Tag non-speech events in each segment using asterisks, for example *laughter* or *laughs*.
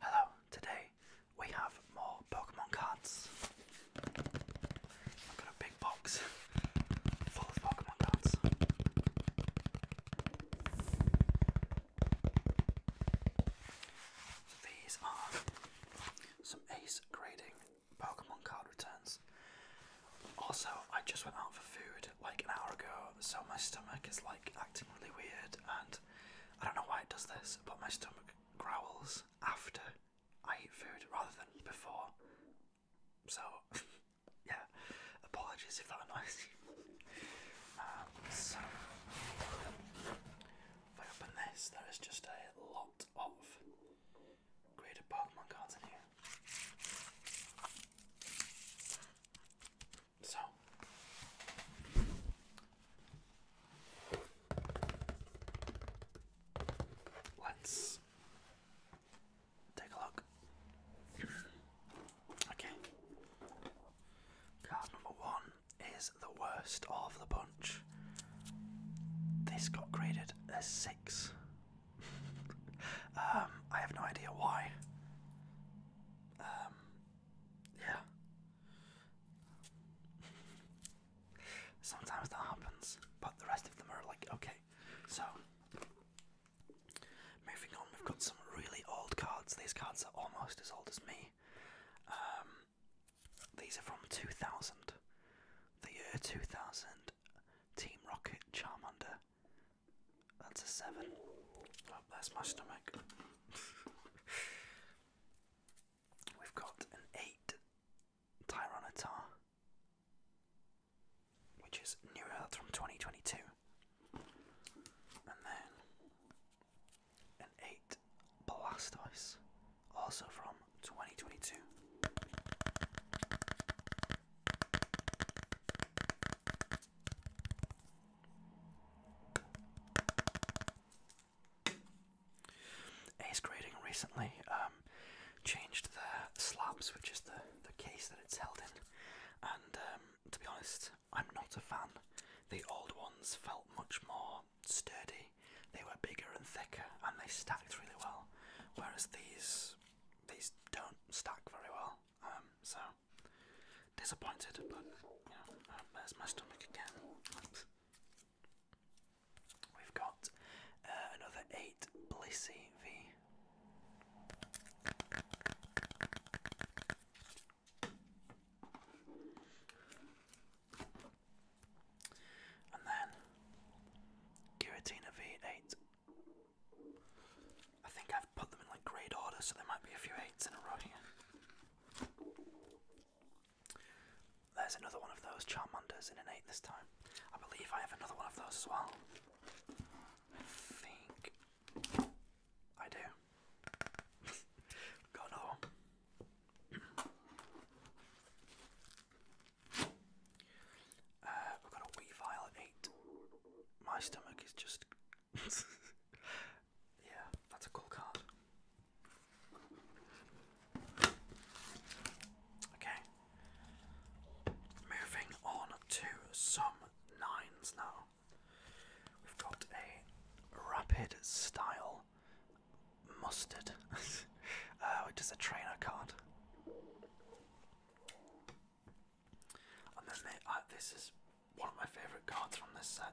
Hello, today we have more Pokemon cards. I've got a big box full of Pokemon cards. these are some ace grading Pokemon card returns. Also, I just went out for food like an hour ago, so my stomach is like acting really weird and I don't know why it does this, but my stomach growls after I eat food rather than before. So, *laughs* yeah, apologies if that annoys you. Um, so, if I open this, there is just a lot of graded Pokemon cards in here. So let's take a look. okay. Card number one is the worst of the bunch. This got graded a six. *laughs* um, I have no idea why. Um, yeah. Sometimes that happens, but the rest of them are like, okay. So, moving on, we've got some really old cards. These cards are almost as old as me. Um, these are from 2000. The year 2000. Team Rocket, Charmander, that's a seven. Oh, that's my stomach. We've got an eight Tyranitar, which is New Earth from 2022. And then an eight Blastoise, also from 2022. Ace Grading recently um, changed the slabs, which is the, the case that it's held in, and um, to be honest, I'm not a fan. The old ones felt much more sturdy, they were bigger and thicker, and they stacked really well, whereas these these don't stack very well. Um, so disappointed, but um, there's my stomach again. We've got uh, another eight Blissey V. And then Giratina V8. I think I've put them in like grade order, so there might be a few eights in a row here. There's another one of those Charmanders in an eight this time. I believe I have another one of those as well. I think I do. *laughs* Got uh, we've got a wee file eight. My stomach is just. *laughs* yeah, that's a cool card. Okay. Moving on to some nines now. We've got a rapid style mustard, *laughs* uh, which a trainer card. And then uh, this is one of my favourite cards from this set.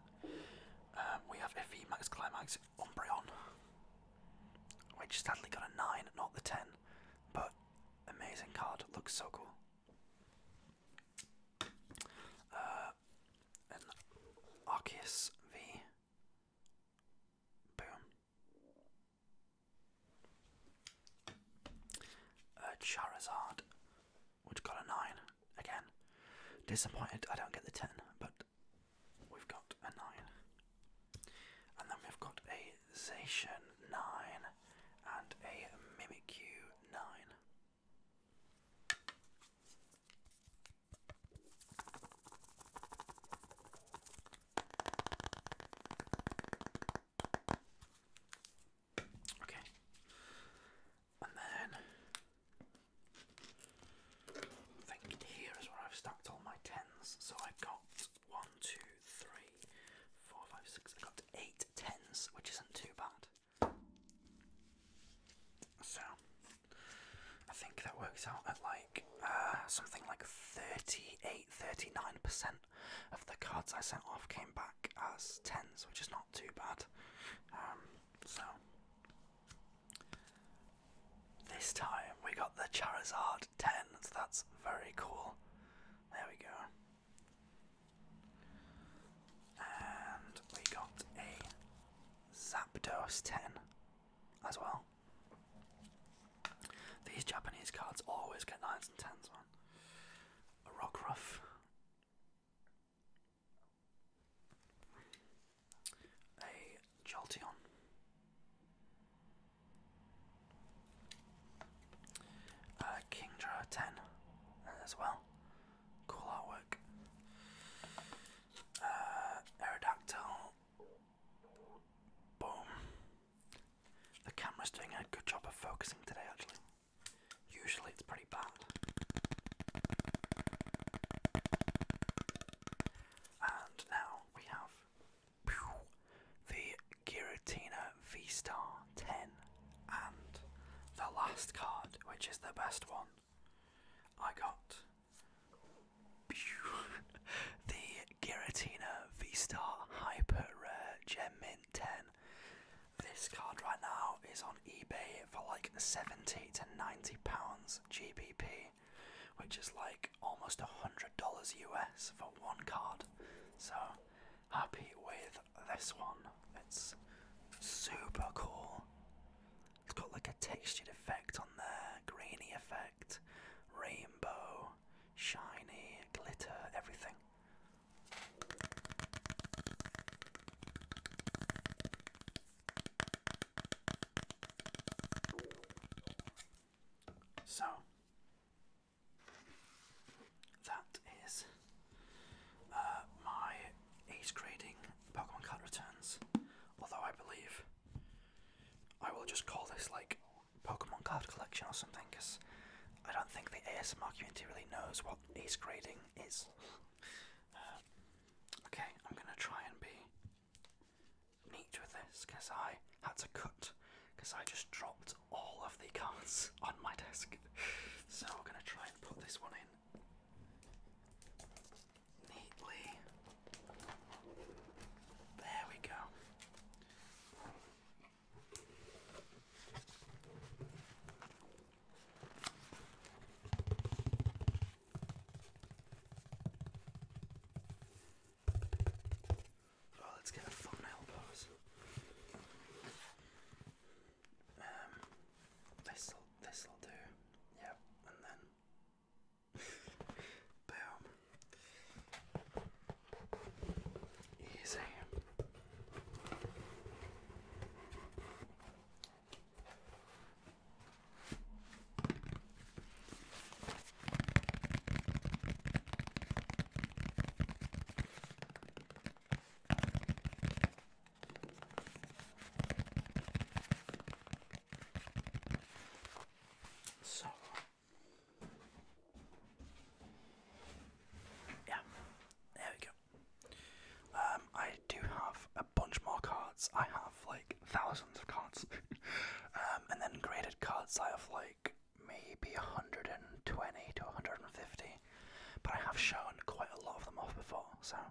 Um, we have FE Max Climax Umbreon, which sadly got a 9, not the 10, but amazing card, looks so cool. Uh, and Arceus V. Boom. Uh, Charizard, which got a 9 again. Disappointed I don't get the 10, but we've got a 9. And then we've got a Zacian 9 and a Mimikyu 9. Okay. And then I think here is where I've stacked all my tens. So I've got one, two, three, four, five, six. I got eight tens, which isn't too bad. So I think that works out at like uh, something like 38 39% of the cards I sent off came back as 10s, which is not too bad. Um, so, this time we got the Charizard 10, so that's very cool. There we go. And we got a Zapdos 10 as well. These Japanese cards always get nines and tens, man. A rock rough. A Jolteon. Uh, Kingdra 10 as well. Cool artwork. Uh, Aerodactyl Boom. The camera's doing a good job of focusing today, actually. Usually it's pretty bad. And now we have the Giratina V Star 10 and the last card, which is the best one. I got *laughs* the Giratina V-Star Hyper Rare Gem Mint 10. This card right now is on eBay for like 70 to 90 pounds GBP, which is like almost a $100 US for one card. So happy with this one. It's super cool. It's got like a textured effect on there, grainy effect, rainbow, shiny, glitter, everything. So that is uh, my age grading Pokemon Card Returns. Although I believe I will just call this like Pokemon card collection or something because I don't think the ASMR community really knows what ace grading is. Uh, okay, I'm gonna try and be neat with this because I had to cut because I just dropped all of the cards *laughs* on my desk. so I'm gonna try and put this one in neatly. There we go. Oh, let's get a thumbnail pose. Um, this'll this'll do. Yep, and then Boom. Easy. So, yeah, there we go. Um, I do have a bunch more cards. I have like thousands of cards, *laughs* um, and then graded cards. I have like maybe 120 to 150, but I have shown quite a lot of them off before, so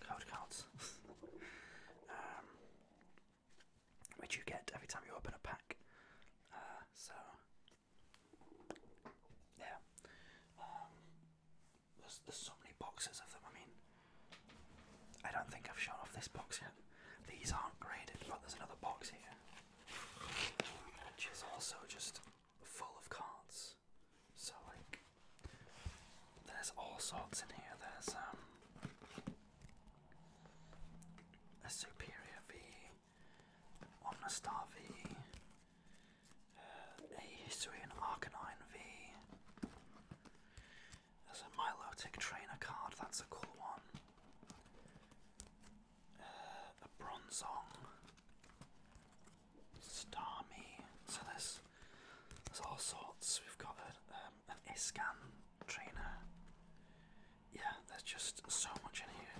card cards, *laughs* um, which you get every time you open a pack. Uh, so yeah, um, there's there's so many boxes of them. I mean, I don't think I've shown off this box yet. These aren't graded, but there's another box here, which is also just full of cards. So like there's all sorts in here. There's um, a superior V, a Omnistar V, uh, and Arcanine V. There's a Milotic trainer card. That's a cool one. Uh, a Bronzong. Starmie. So there's there's all sorts. We've got a, um, an Iskan trainer. Yeah, there's just so much in here.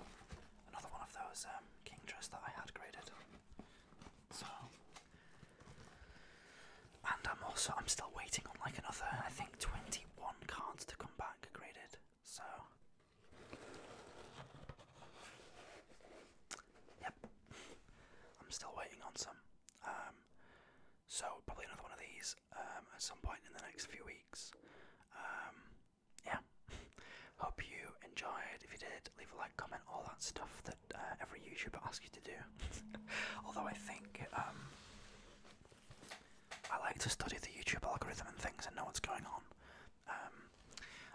Another one of those um, king dress that I had graded. So, and I'm also I'm still waiting on like another I think 21 cards to come back graded. So Yep. I'm still waiting on some. Um, so probably another one of these um, at some point in the next few weeks. Um, yeah. *laughs* Hope you enjoyed. If you did, leave a like, comment, all that stuff that uh, every YouTuber asks you to do. *laughs* Although I think um, I like to study the YouTube algorithm and things and know what's going on. Um,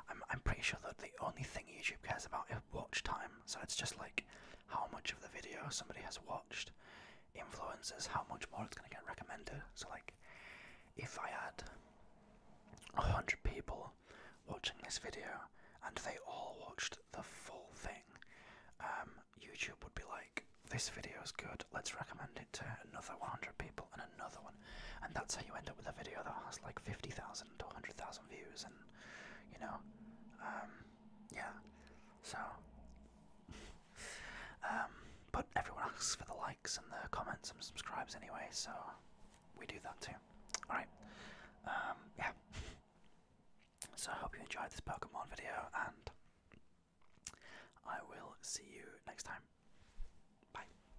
I'm I'm pretty sure that the only thing YouTube cares about is watch time. So it's just like how much of the video somebody has watched influences how much more it's gonna get recommended. So like if I had a hundred people watching this video and they all watched the full thing, um, YouTube would be like, This video is good, let's recommend it to another one hundred people and and another one, and that's how you end up with a video that has like 50,000 to 100,000 views, and you know, um, yeah. So, *laughs* um, but everyone asks for the likes and the comments and subscribes anyway, so we do that too. All right, um, yeah. So I hope you enjoyed this Pokemon video, and I will see you next time. Bye.